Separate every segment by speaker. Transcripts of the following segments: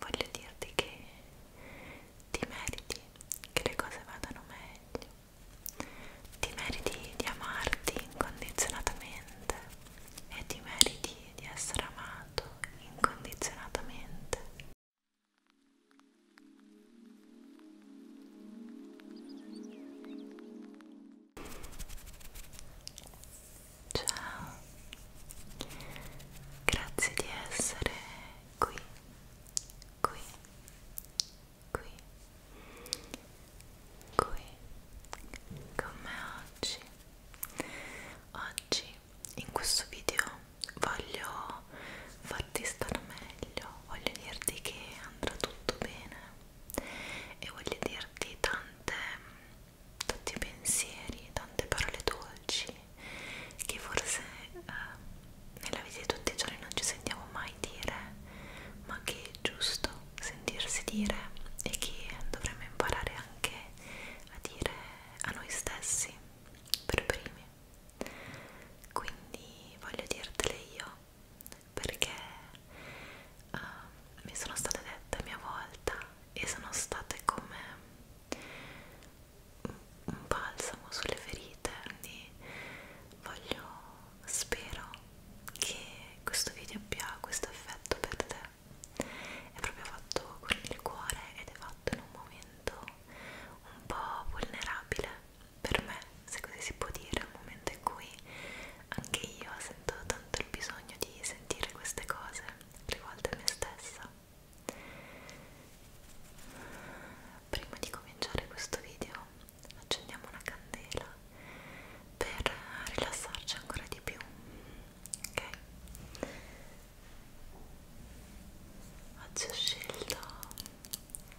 Speaker 1: voglio dirti che ti meriti che le cose vadano meglio, ti meriti di amarti incondizionatamente e ti meriti di essere amato incondizionatamente. Ciao, grazie di essere qui, qui, qui, qui con me oggi. Oggi in questo video voglio farti stare meglio, voglio dirti che andrà tutto bene e voglio dirti tante tanti pensieri, tante parole dolci che forse eh, nella vita di tutti i giorni non ci sentiamo mai dire, ma che è giusto sentirsi dire e che dovremmo imparare anche a dire a noi stessi per primi. Quindi voglio dirtele io perché uh, mi sono state dette a mia volta e sono state come un balsamo sulle ferite quindi voglio spero che questo video abbia questo effetto per te è proprio fatto con il cuore ed è fatto in un momento un po' vulnerabile per me se così si può dire un momento in cui anche io sento tanto il bisogno di sentire queste cose tre volte me stessa prima di cominciare questo video accendiamo una candela per rilassarci ancora di più ok oggi ho scelto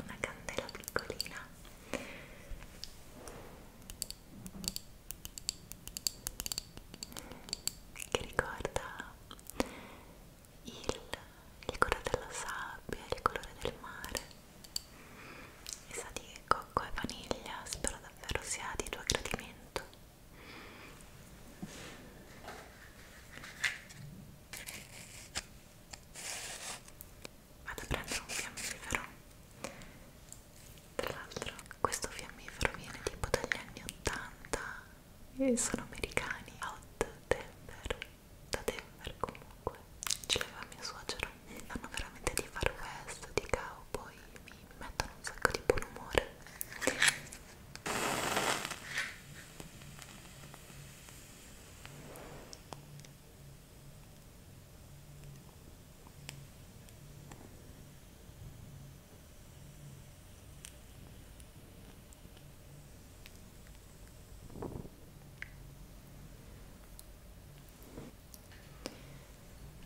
Speaker 1: una candela piccolina che ricorda il, il colore della sabbia, il colore del mare e sa di cocco e vaniglia, spero davvero sia di tuo gradimento Vado a prendere un fiammifero tra l'altro questo fiammifero viene tipo dagli anni 80 e sono americani out Denver, da Denver comunque, ce l'aveva mio suocero. Hanno veramente di far west, di cowboy, mi mettono un sacco di buon umore.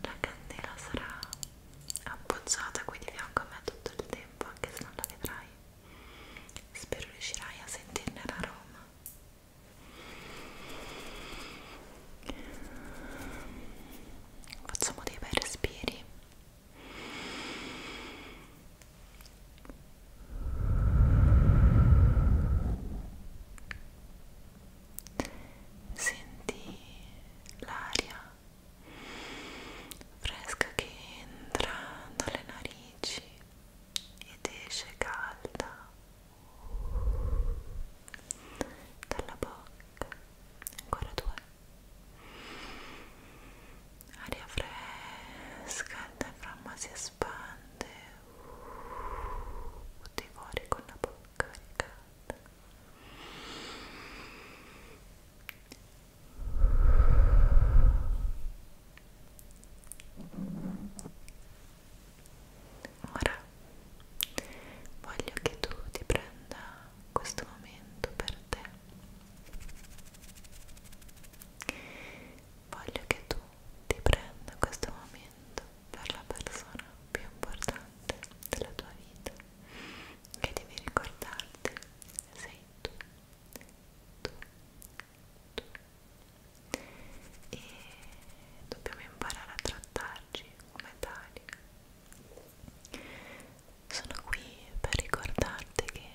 Speaker 1: La candela sarà appoggiata qui di fianco a me tutto il tempo, anche se non la vedrai. Spero riuscirai a sentirne l'aroma facciamo dei bei respiri senti l'aria fresca che entra dalle narici ed esce calda dalla bocca ancora due aria fresca il diaframma si espande tutti fuori con la bocca caricata Ora voglio che tu ti prenda questo momento per te. Voglio che tu ti prenda questo momento per la persona più importante della tua vita che devi ricordarti sei tu, tu, tu e dobbiamo imparare a trattarci come tali. Sono qui per ricordarti che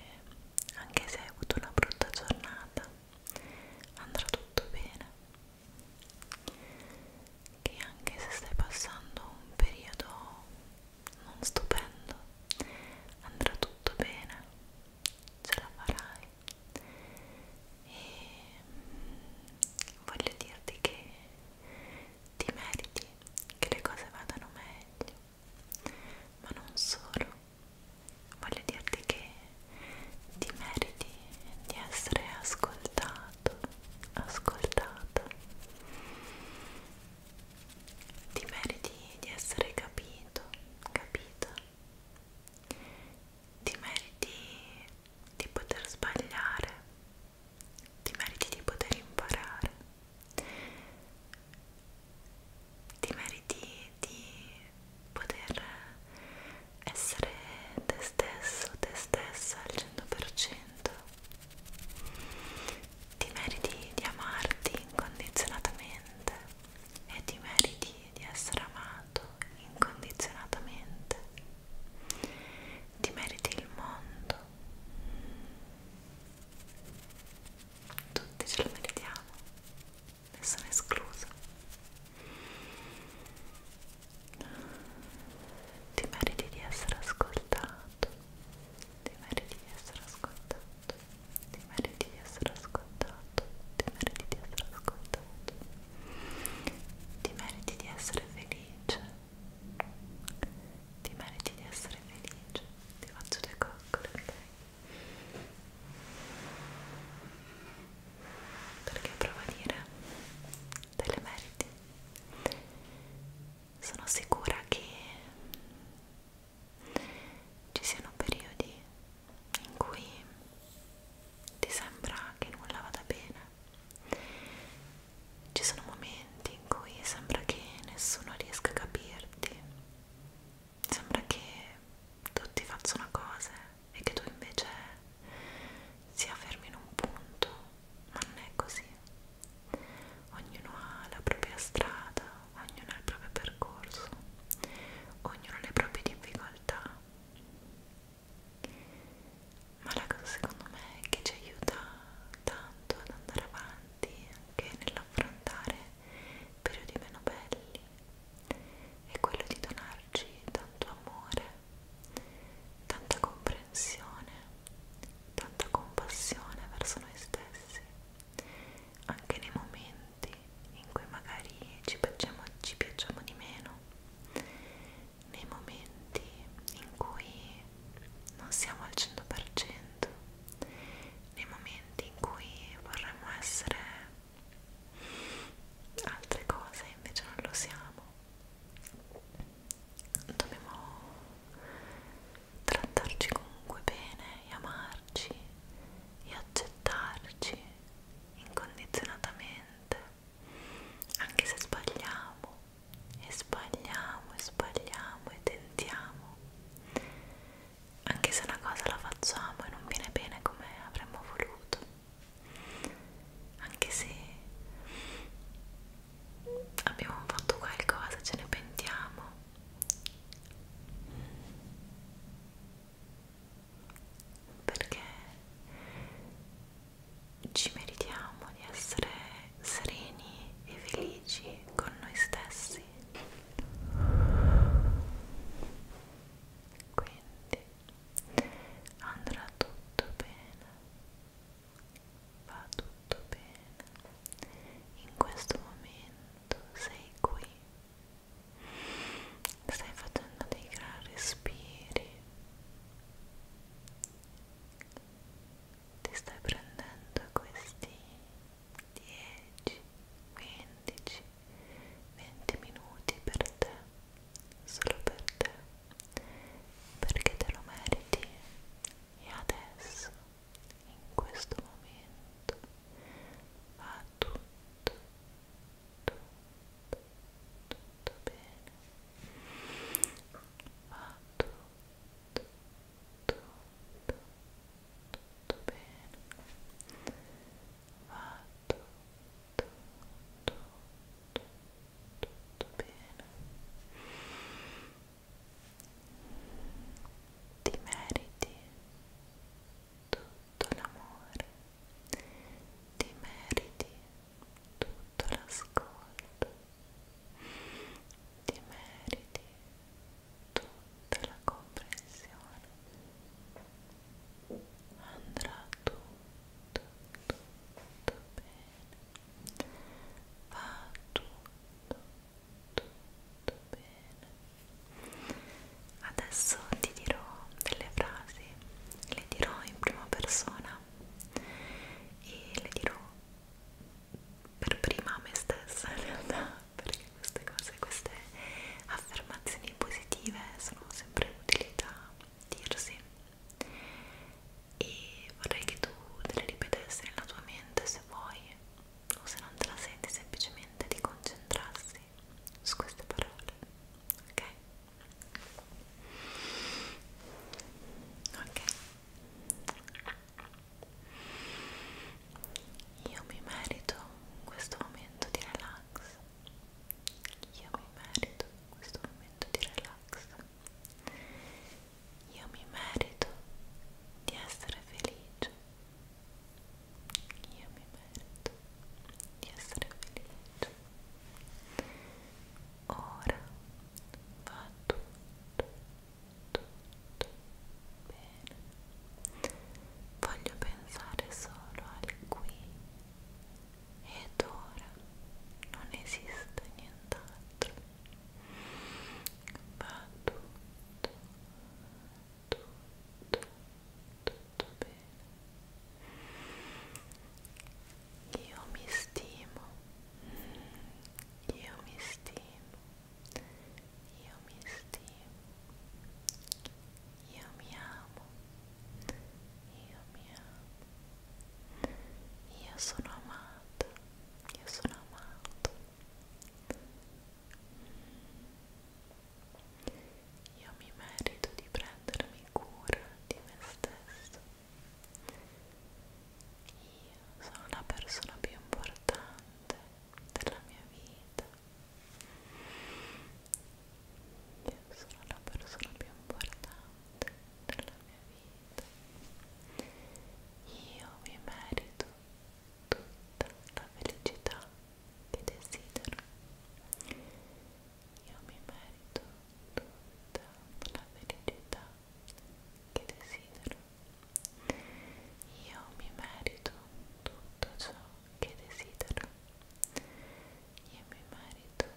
Speaker 1: anche se hai avuto una brutta giornata andrà tutto bene, che anche se stai passando un periodo non stupendo andrà tutto bene, ce la farai e mm, voglio dirti che ti meriti che le cose vadano meglio ma non solo voglio dirti che ti meriti di essere ascoltato ascoltata ti meriti di essere capito capita ti meriti di poter sbagliare, ti meriti di poter imparare, ti meriti di poter essere te stesso, te stessa al 100%, ti meriti di amarti incondizionatamente e ti meriti di essere amato incondizionatamente. Ti meriti il mondo. Tutti ce lo meritiamo, nessuno escluso. Ti meriti di essere ascoltato, ti meriti di essere ascoltato, ti meriti di essere ascoltato, ti meriti di essere ascoltato ti meriti di essere felice ti meriti di essere felice ti faccio le coccole ok perché prova a dire te le meriti sono sicura che ci siano periodi in cui ti sembra che nulla vada bene. Ci sono momenti in cui sembra che nessuno riesca a capirti, sembra che tutti facciano cose e che tu invece sia fermi in un punto, ma non è così. Ognuno ha la propria strada, ognuno ha il proprio percorso, ognuno ha le proprie difficoltà ma la cosa secondo me che ci aiuta tanto ad andare avanti anche nell'affrontare periodi meno belli è quello di donarci tanto amore, tanta comprensione, tanta compassione verso noi stessi anche nei momenti momenti in cui magari ci piacciamo, ci piacciamo di meno, nei momenti in cui non siamo al 100%, nei momenti in cui vorremmo essere altre cose invece non lo siamo. Dobbiamo trattarci comunque bene e amarci e accettarci incondizionatamente, anche se sbagliamo e sbagliamo e sbagliamo e tentiamo, anche se una cosa la facciamo e non viene bene come avremmo voluto, anche se abbiamo fatto qualcosa, ce ne pentiamo perché ci meritiamo di essere sereni e felici con noi stessi quindi andrà tutto bene va tutto bene in questo momento sei qui stai facendo dei gran respiri ti stai prendendo questi 10 15 20 minuti per te solo per te perché te lo meriti e adesso in questo momento va tutto tutto, tutto, tutto bene va tutto, tutto, tutto, tutto bene va tutto, tutto, tutto, tutto bene ti meriti tutto l'amore, ti meriti tutto l'ascolto, ti meriti tutta la comprensione, andrà tutto, tutto bene, va tutto, tutto bene adesso ti dirò delle frasi le dirò in prima persona e le dirò per prima a me stessa in realtà perché queste cose queste affermazioni positive sono sempre utili da dirsi e vorrei che tu te le ripetessi nella tua mente se vuoi o se non te la senti semplicemente di concentrarsi così, su queste parole, ok? Ok. Io mi merito questo momento di relax. Io mi merito questo momento di relax. Io mi merito di essere felice. Io mi merito di essere felice. Ora va tutto, tutto bene. Voglio pensare solo al qui ed ora non esiste nient'altro. Va tutto tutto, tutto bene. Io mi stimo, io mi stimo, io mi stimo, io mi amo, io mi amo, io sono amato, io sono amato. Io mi merito di prendermi cura di me stesso. Io sono la persona più importante della mia vita. Io sono la persona più importante della mia vita. Io mi merito tutta la felicità che desidero. Io mi merito tutta la felicità che desidero. Io mi merito tutto ciò che desidero. Io mi merito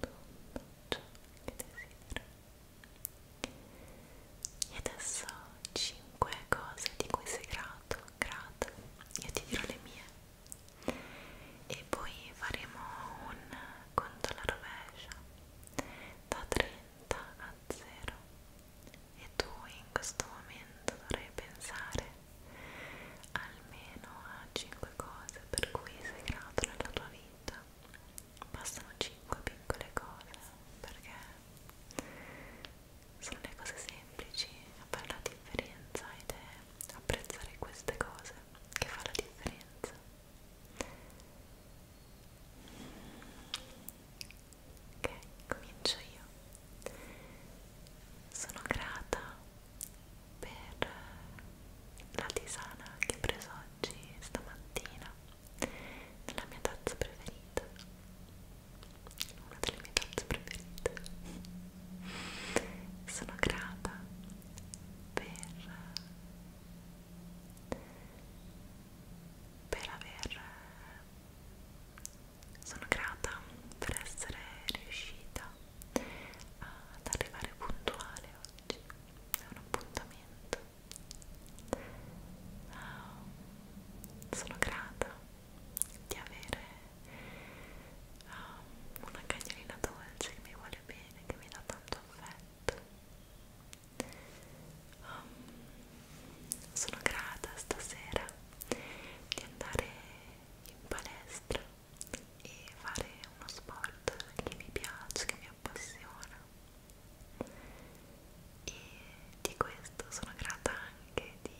Speaker 1: tutto ciò che desidero. E adesso 5 cose di cui sei grato, grato. Io ti dirò le mie. E poi faremo un conto alla rovescia da 30 a 0. E tu in questo momento dovrai pensare almeno a 5 cose per cui sei grato nella tua vita. Bastano 5 piccole cose perché sono le cose semplici a fare la differenza ed è apprezzare queste cose che fa la differenza ok comincio io sono grata per la tisana che ho preso oggi stamattina la mia tazza preferita una delle mie tazze preferite sono grata per per aver sono grata per essere riuscita ad arrivare puntuale oggi è un appuntamento uh, sono grata di avere uh, una cagnolina dolce che mi vuole bene, che mi dà tanto affetto. Um, sono grata stasera di andare in palestra e fare uno sport che mi piace, che mi appassiona e di questo sono grata anche di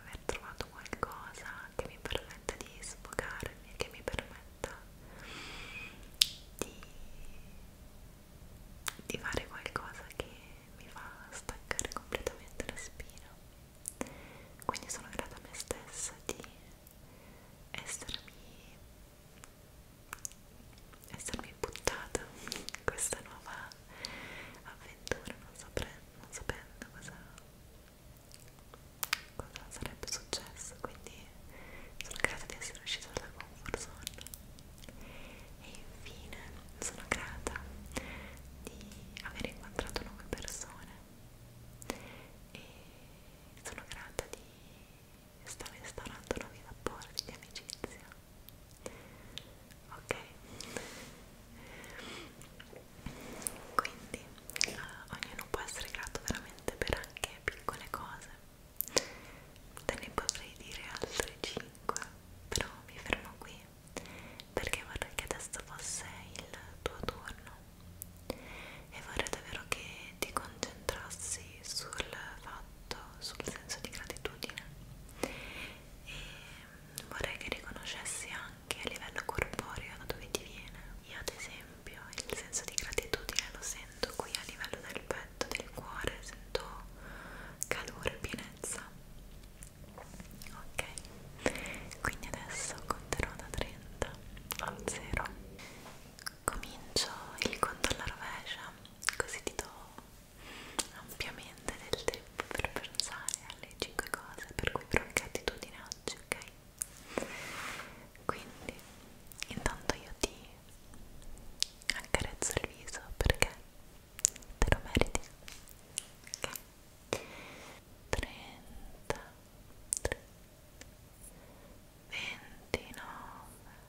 Speaker 1: aver trovato qualcosa che mi permetta di sfogarmi, che mi permetta di, di fare qualcosa che mi fa staccare completamente la spina. Quindi sono grata a me stessa di essermi essermi buttata in questa nuova avventura non, saprei, non sapendo cosa, cosa sarebbe successo quindi sono grata di essere uscita dalla comfort zone e infine sono grata di aver incontrato nuove persone e sono grata di sta instaurando nuovi rapporti di amicizia ok quindi eh, ognuno può essere grato veramente per anche piccole cose te ne potrei dire altre 5 però mi fermo qui perché vorrei che adesso fosse il tuo turno e vorrei davvero che ti concentrassi sul fatto fatto, sul senso di gratitudine e vorrei che riconoscessi anche a livello corporeo da dove ti viene. Io ad esempio il senso di gratitudine lo sento qui a livello del petto, del cuore, sento calore, pienezza. Ok, quindi adesso conterò da 30 a 0. Comincio il conto alla rovescia, così ti do ampiamente del tempo per pensare alle 5 cose per cui provi gratitudine oggi, ok? Quindi, intanto io ti accarezzo il viso perché te lo meriti, ok? 33 29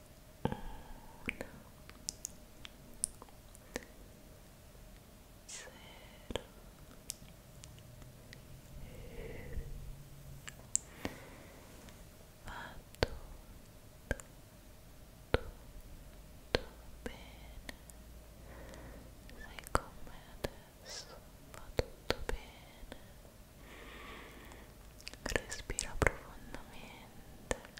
Speaker 1: bene sei con me adesso va tutto bene respira profondamente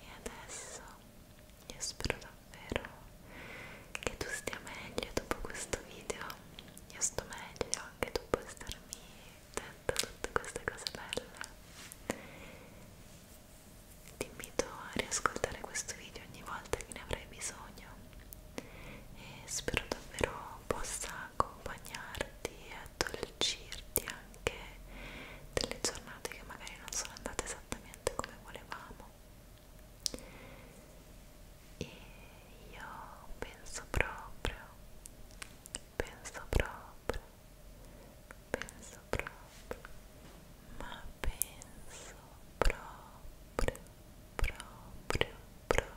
Speaker 1: e adesso io spero davvero che tu stia meglio dopo questo video io sto meglio anche dopo starmi dentro tutte queste cose belle ti invito a riascoltare questo video ogni volta che ne avrai bisogno e spero davvero possa accompagnarti e addolcirti anche delle giornate che magari non sono andate esattamente come volevamo e io penso proprio penso proprio penso proprio ma penso proprio proprio proprio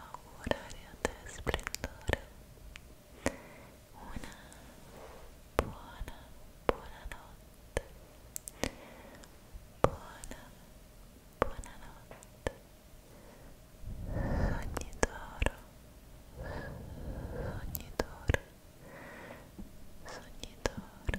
Speaker 1: auguraria de splendore una buona buonanotte buona buonanotte sogni d'oro sogni d'oro sogni d'oro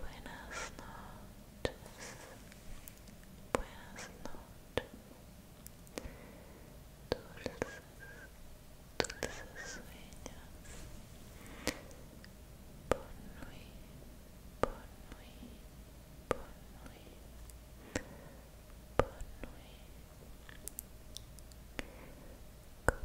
Speaker 1: Buenas noches. Buenas noches. Dulces, dulces sueños. Bonne nuit, bonne nuit, bonne nuit. Bonne nuit. Good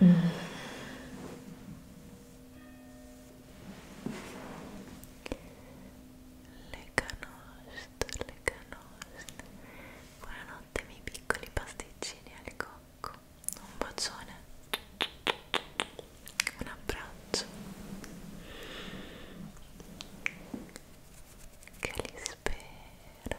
Speaker 1: Mm. Le canoste, le canoste. Buonanotte miei piccoli pasticcini al cocco. Un bacione. Un abbraccio. Che li spera.